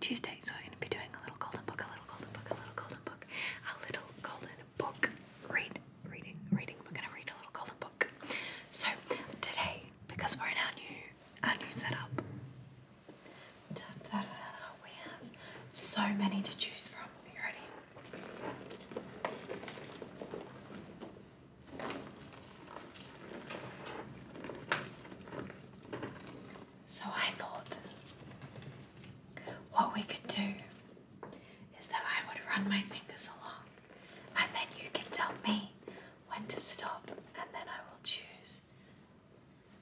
Tuesday, so we're going to be doing a little golden book, a little golden book, a little golden book, a little golden book. Read, reading, reading. We're going to read a little golden book. So today, because we're in our new, our new setup, we have so many to choose from. Are you ready? So I thought what we could do is that I would run my fingers along and then you can tell me when to stop and then I will choose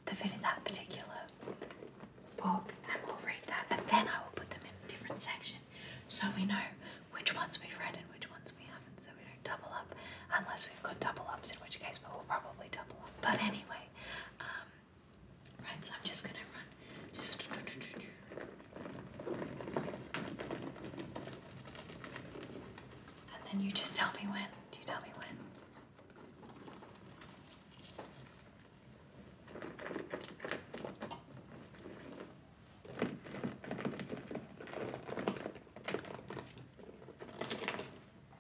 the in that particular book and we'll read that and then I will put them in different section so we know which ones we've read and which ones we haven't so we don't double up unless we've got double ups in which case we will probably double up. But anyway, um, right, so I'm just gonna run. and then you just tell me when. Do you tell me when?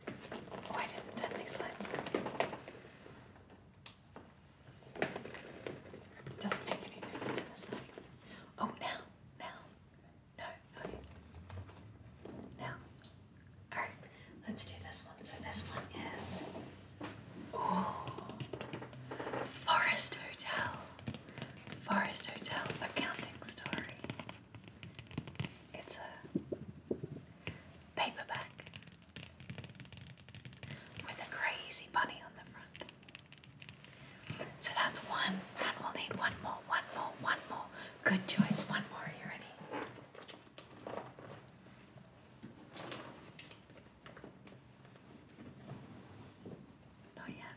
Oh, I didn't turn these lights Doesn't make any difference in this light. Oh, now, now. No, okay. Now. Alright, let's do this one. So this one is. Ooh. Forest Hotel. Forest Hotel accounting story. It's a paperback with a crazy bunny on the front. So that's one, and we'll need one more, one more, one more. Good choice, one more. you ready? Not yet.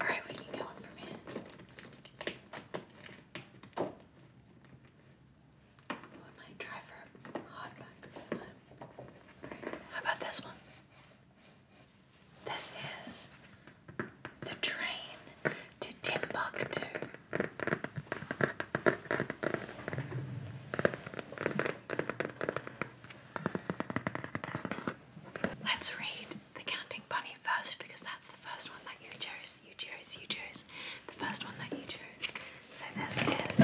Alright, we can get one from here. Well, I might try for hardback this time. How about this one? This is the train to Timbuktu. Let's read The Counting Bunny first because that's the first one that you chose. You chose, you chose. The first one that you chose. So this is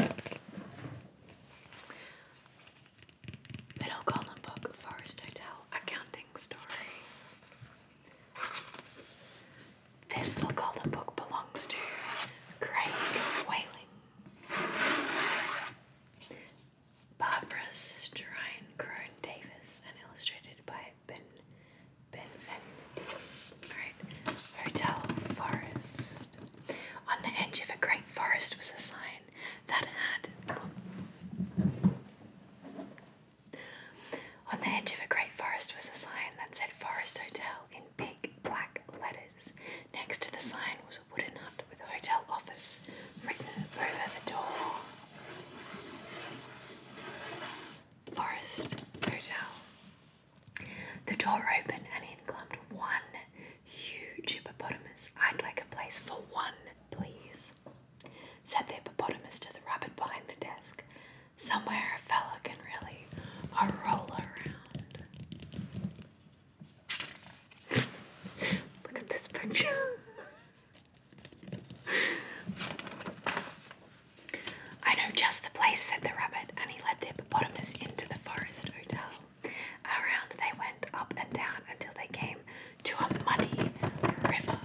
Little Golden Book Forest Hotel Accounting Story. This little golden book belongs to Craig Whaling. Barbara Strinecrone Davis and illustrated by Ben Benvenuti. Alright. Hotel Forest. On the edge of a great forest was a sign that had on the edge of a great forest was a sign that said Forest Hotel in big black letters. Next to the sign was a wooden hut with with hotel office written over the door. Forest Hotel. The door opened and in clumped one huge hippopotamus. I'd like a place for one, please, said the hippopotamus to the rabbit behind the desk. Somewhere a fellow can really a roll around. Look at this picture. I know just the place, said the rabbit, and he led the hippopotamus into the forest hotel. Around they went up and down until they came to a muddy river.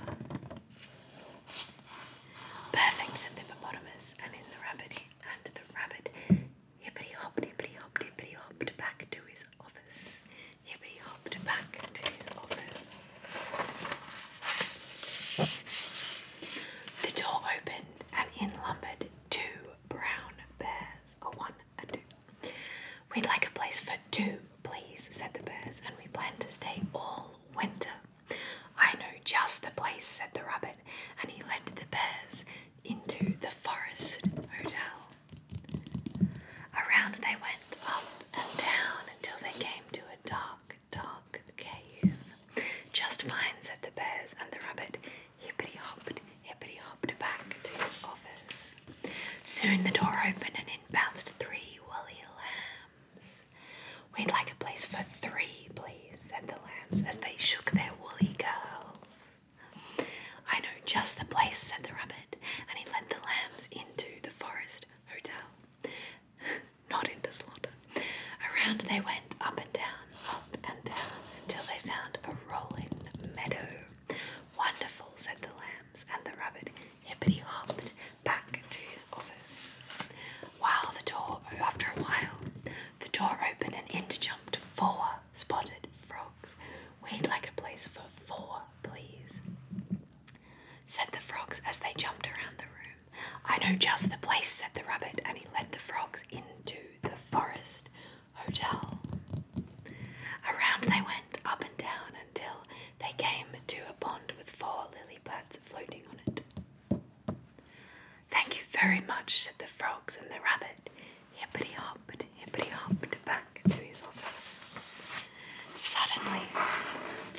Perfect, said the hippopotamus, and in the rabbit and the rabbit hippity hopped hippity hopped hippity hopped back to his office. Hippity hopped back to his office. The door opened, and in lumbered two brown bears, a one and two. We'd like a place for two, please, said the bears, and we plan to stay all winter. I know just the place, said the rabbit, and he led the bears into the forest hotel. Around they went up and down until they came to a dark, dark cave. Just fine, said the bears, and the rabbit hippity hopped, hippity hopped back to his office. Soon the door opened and in bounced three woolly lambs. We'd like a place for three, please, said the lambs as they shook their woolly curls. I know just the place, said the rabbit, and he led the lambs into the forest hotel. Not in into slaughter. Around they went, up and down, up and down, until they found a rolling meadow. Wonderful, said the lambs, and the rabbit hippity hopped back to his office. While the door, after a while, the door opened and in jumped four spotted frogs. We'd like a place for four, please, said the frogs as they jumped around the room. I know just the place, said the rabbit, and he led the frogs into the forest hotel. Around they went, up and down, until they came to a pond with four lily pads floating on it. Thank you very much, said the frogs and the rabbit hippity hopped, hippity hopped back to his office. Suddenly,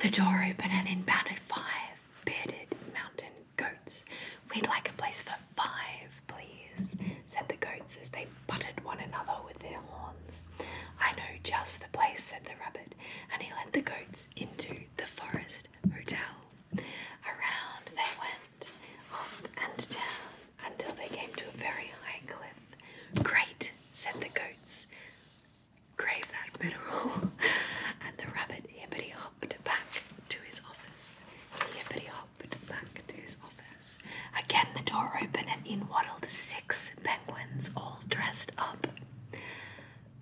the door opened and in bounded five bearded mountain goats. We'd like a place for five, please, said the goats as they butted one another with their horns. I know just the place, said the rabbit, and he led the goats into the forest hotel. Around they went, up and down, until they came to a very high cliff. Great, said the goats. Crave that mineral. and the rabbit hippity hopped back to his office. He hopped back to his office. Again the door opened and in waddled six penguins, all dressed up.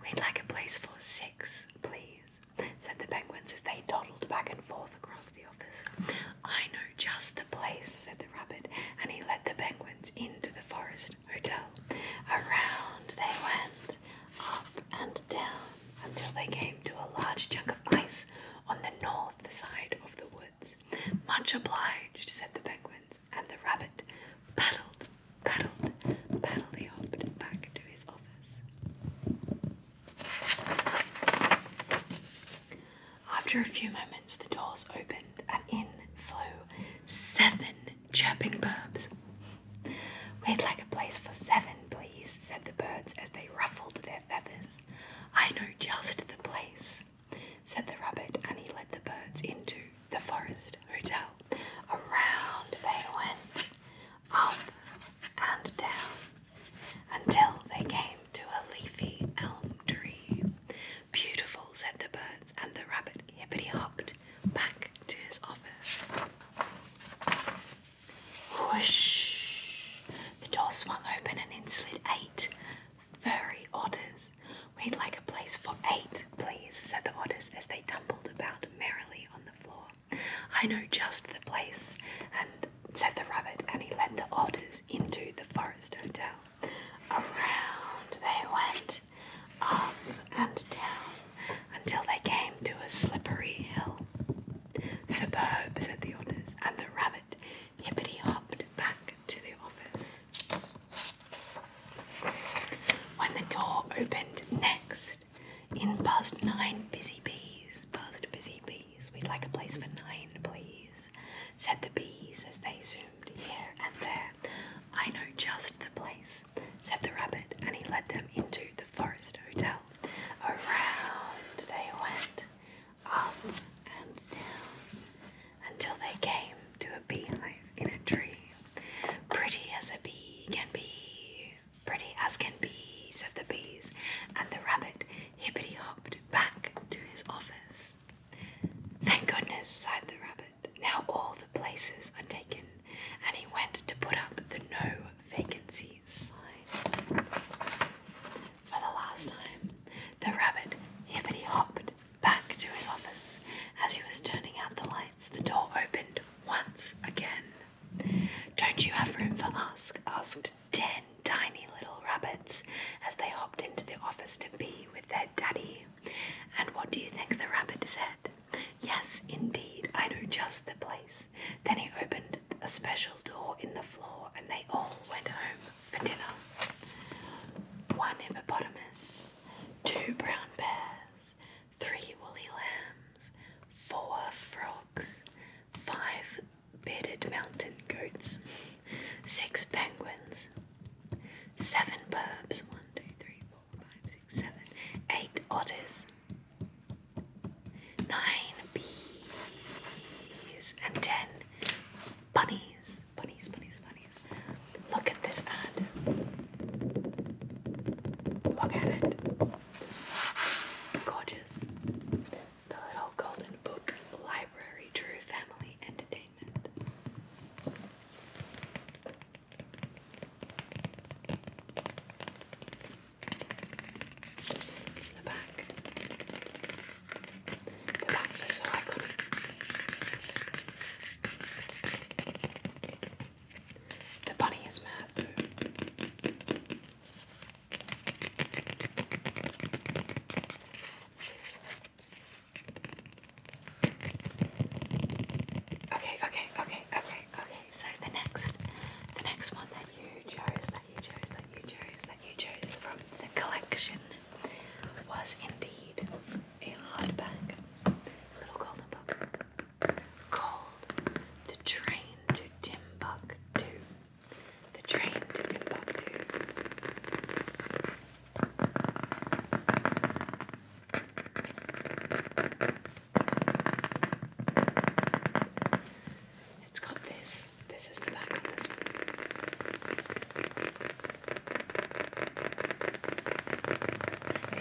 We'd like a place for six, please, said the penguins as they toddled back and forth across the office. I know just the place, said the rabbit, and he led the penguins into the forest hotel. Around they went, up and down, until they came to a large chunk of ice on the north side of the woods. Much obliged, said the penguins, and the rabbit paddled, paddled, paddled, he hopped back to his office. After a few moments, the doors opened and in flew seven chirping birds. We'd like a place for seven, please, said the birds as they ruffled their feathers. I know just the place, said the rabbit, and he led the birds into the forest hotel. Around they went, up and down, until they came to a leafy elm tree. Beautiful, said the birds, and the rabbit hippity hopped back to his office. Whoosh! The door swung open and in slid eight furry otters. We'd like a place for eight, please, said the otters as they tumbled about merrily on the floor. I know just the place, and said the rabbit, and he led the otters into the forest hotel. Around they went, up and down, until they came to a slippery hill. Superb, said the otters, and the rabbit hippity hopped back to the office. When the door opened next, in passed nine busy bees, passed busy bee. We'd like a place for nine, please, said the bees as they zoomed here and there. I know just the place, said the rabbit, and he led them into the forest hotel. Around they went, up and down, until they came to a beehive in a tree. Pretty as a bee can be, pretty as can be, said the bees, and the rabbit hippity hopped back to his office. Thank goodness, sighed the rabbit. Now all the places are taken, and he went to put up the no vacancy sign. For the last time, the rabbit hippity hopped back to his office. As he was turning out the lights, the door opened once again. Don't you have room for us? asked ten tiny little rabbits as they hopped into the office to be with their daddy. And what do you think the rabbit said? Yes, indeed, I know just the place. Then he opened a special door in the floor, and they all went home for dinner. One hippopotamus, two brown bears, three woolly lambs, four frogs, five bearded mountain goats, six penguins, seven birds, one, two, three, four, five, six, seven, eight otters, nine bees, and ten bunnies. Bunnies, bunnies, bunnies. Look at this ad. Look at it. Gorgeous. The Little Golden Book Library True Family Entertainment. The back. The backs are so The bunny is mad. Okay, okay, okay, okay, okay. So the next, the next one that you chose, that you chose, that you chose, that you chose from the collection was indeed a hardback little golden book called "The Train to Timbuktu." the train to Timbuktu. It's got this. This is the back on this one.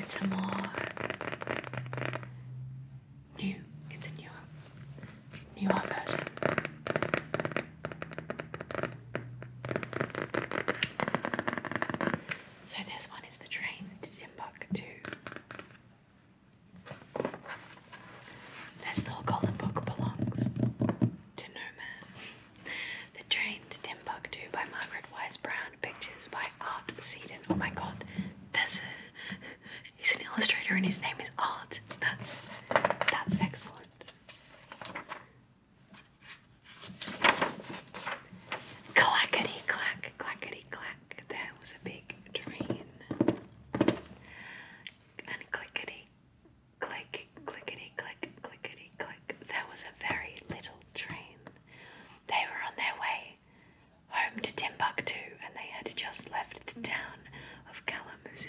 It's more new. It's a new new art version. So this one is the train to Timbuktu. This little golden book belongs to no man. The Train to Timbuktu by Margaret Wise Brown. Pictures by Art Seiden. Oh my god, there's a He's an illustrator and his name is Art. That's that's excellent. Clackety clack, clackety clack. There was a big train. And clickety click, clickety click, clickety click. There was a very little train. They were on their way home to Timbuktu, and they had just left the town of Kalamazoo.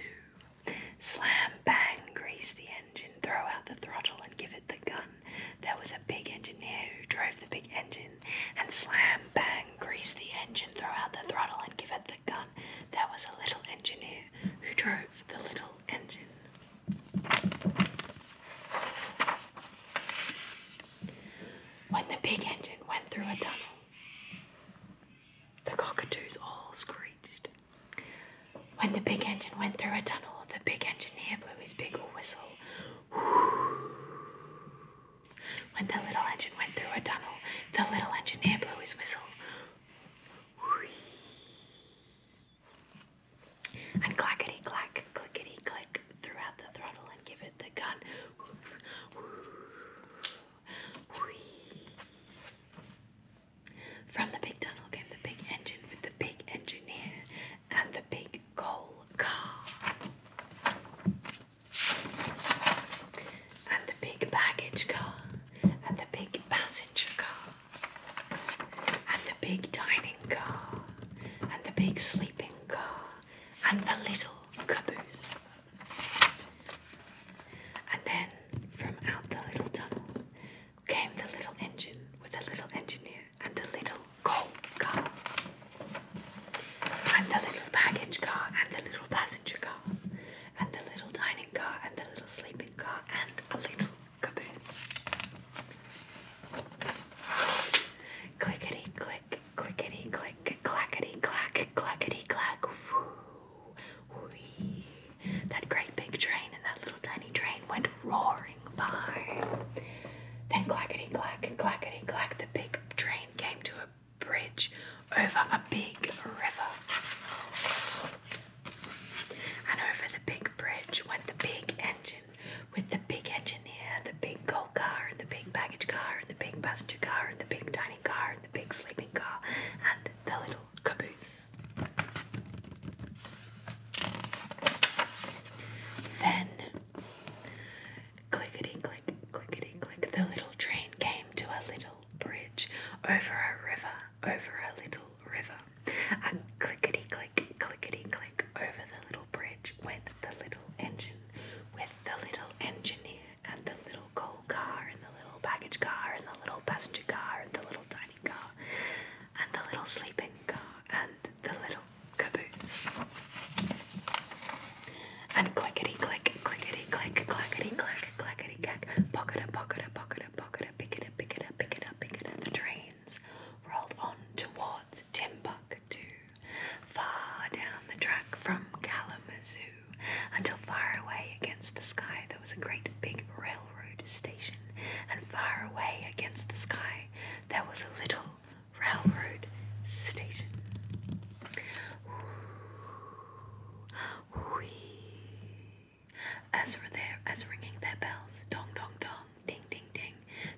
Slam, bang, grease the engine, throw out the throttle, and give it the gun. There was a big engineer who drove the big engine, and slam, bang, grease the engine, throw out the throttle, and give it the gun. There was a little engineer who drove the little engine. When the big engine went through a tunnel, the cockatoos all screeched. When the big engine went through a tunnel, the big engineer blew his big whistle. When the little engine went through a tunnel, the little engineer blew his whistle. And clackety clack, clickety clack throughout the throttle and give it the gun. From the big tunnel came the big engine with the big engineer and the big coal car. And the big baggage car. And the big passenger car. And the big dining car. And the big sleeping car and the little caboose. And then from out the little tunnel came the little engine with a little engineer and a little coal car, and the little baggage car, and the little passenger car, and the little dining car, and the little sleeping car, and a little caboose. Clickety click, Clickety click, clackety clack, clackety clack. Woo, wee. That great big train and that little tiny train went roaring by. Then clackety clack, clackety clack, the big train came to a bridge over a big river. And over the big bridge went the big engine with the big engineer, the big gold car and the big baggage car and the big passenger car and the big dining car and the big sleeping car and the little caboose. Then, clickety click, clickety click, the little train came to a little bridge over a river, over a little river. And clickety click, clickety click, over the little bridge. March went the little engine with the little engineer and the little coal car and the little baggage car and the little passenger car and the little tiny car and the little sleeping car and the little caboose. And clickety click, clickety click, clackety clack, clackety clack, pocket a pocket a pocket a pocket a pick it up, pick it up, pick it up, pick it up. The trains rolled on towards Timbuk back far down the track from Kalamazoo, until far away against the sky there was a great big railroad station, and far away against the sky there was a little railroad station. Ooh, As, were their, as ringing their bells, dong, dong, dong, ding, ding.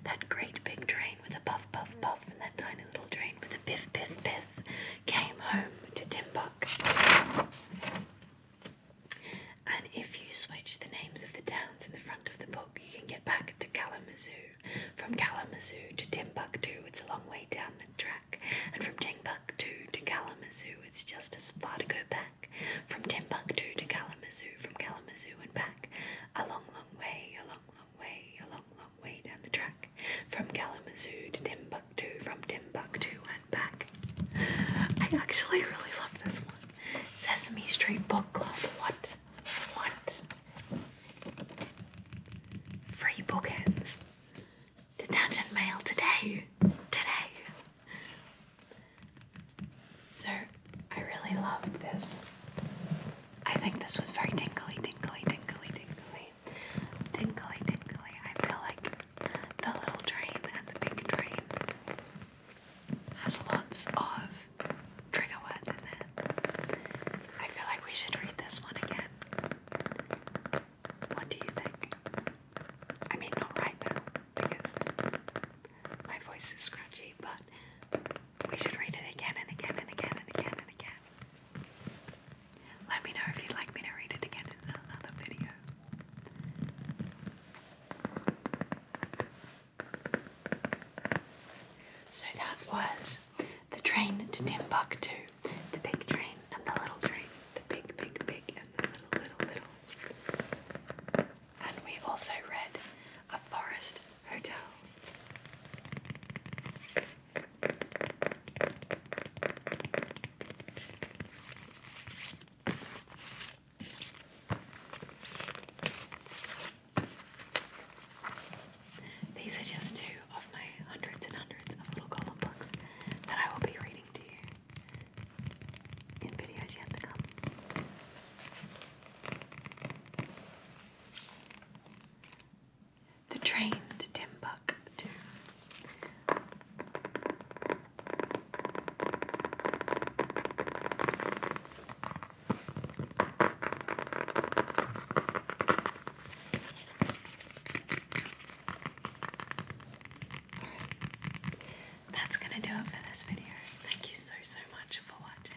That great big train with a puff puff puff and that tiny little train with a biff biff biff came home to Timbuktu. And if you switch the names of the towns in the front of the book, you can get back to Kalamazoo. From Kalamazoo to Timbuktu, it's a long way down the track. And from Timbuktu to Kalamazoo, it's just as far to go back. From Timbuktu to Kalamazoo, from Kalamazoo and back. A long, long way, a long, way, a long, long way down the track, from Kalamazoo to Timbuktu, from Timbuktu and back. I actually really love this one. Sesame Street Book Club. What? What? Free bookends. Detention mail today. Today. So I really loved this. I think this was very tingly, tingly, tingly, tingly, tingly, tingly. I feel like the little train and the big train has lots of trigger words in it. I feel like we should read this one again. What do you think? I mean, not right now because my voice is scratchy, but we should read it again and again and again and again and again. Let me know if you'd like me to read it again in another video. So that was the train to Timbuktu. The big train and the little train. The big, big, big and the little, little, little. And we also read A Forest hotel. These are just two of my hundreds and hundreds of little column books that I will be reading to you in videos yet to come. The train to Timbuktu. that's going to do it for this video. Thank you so, so much for watching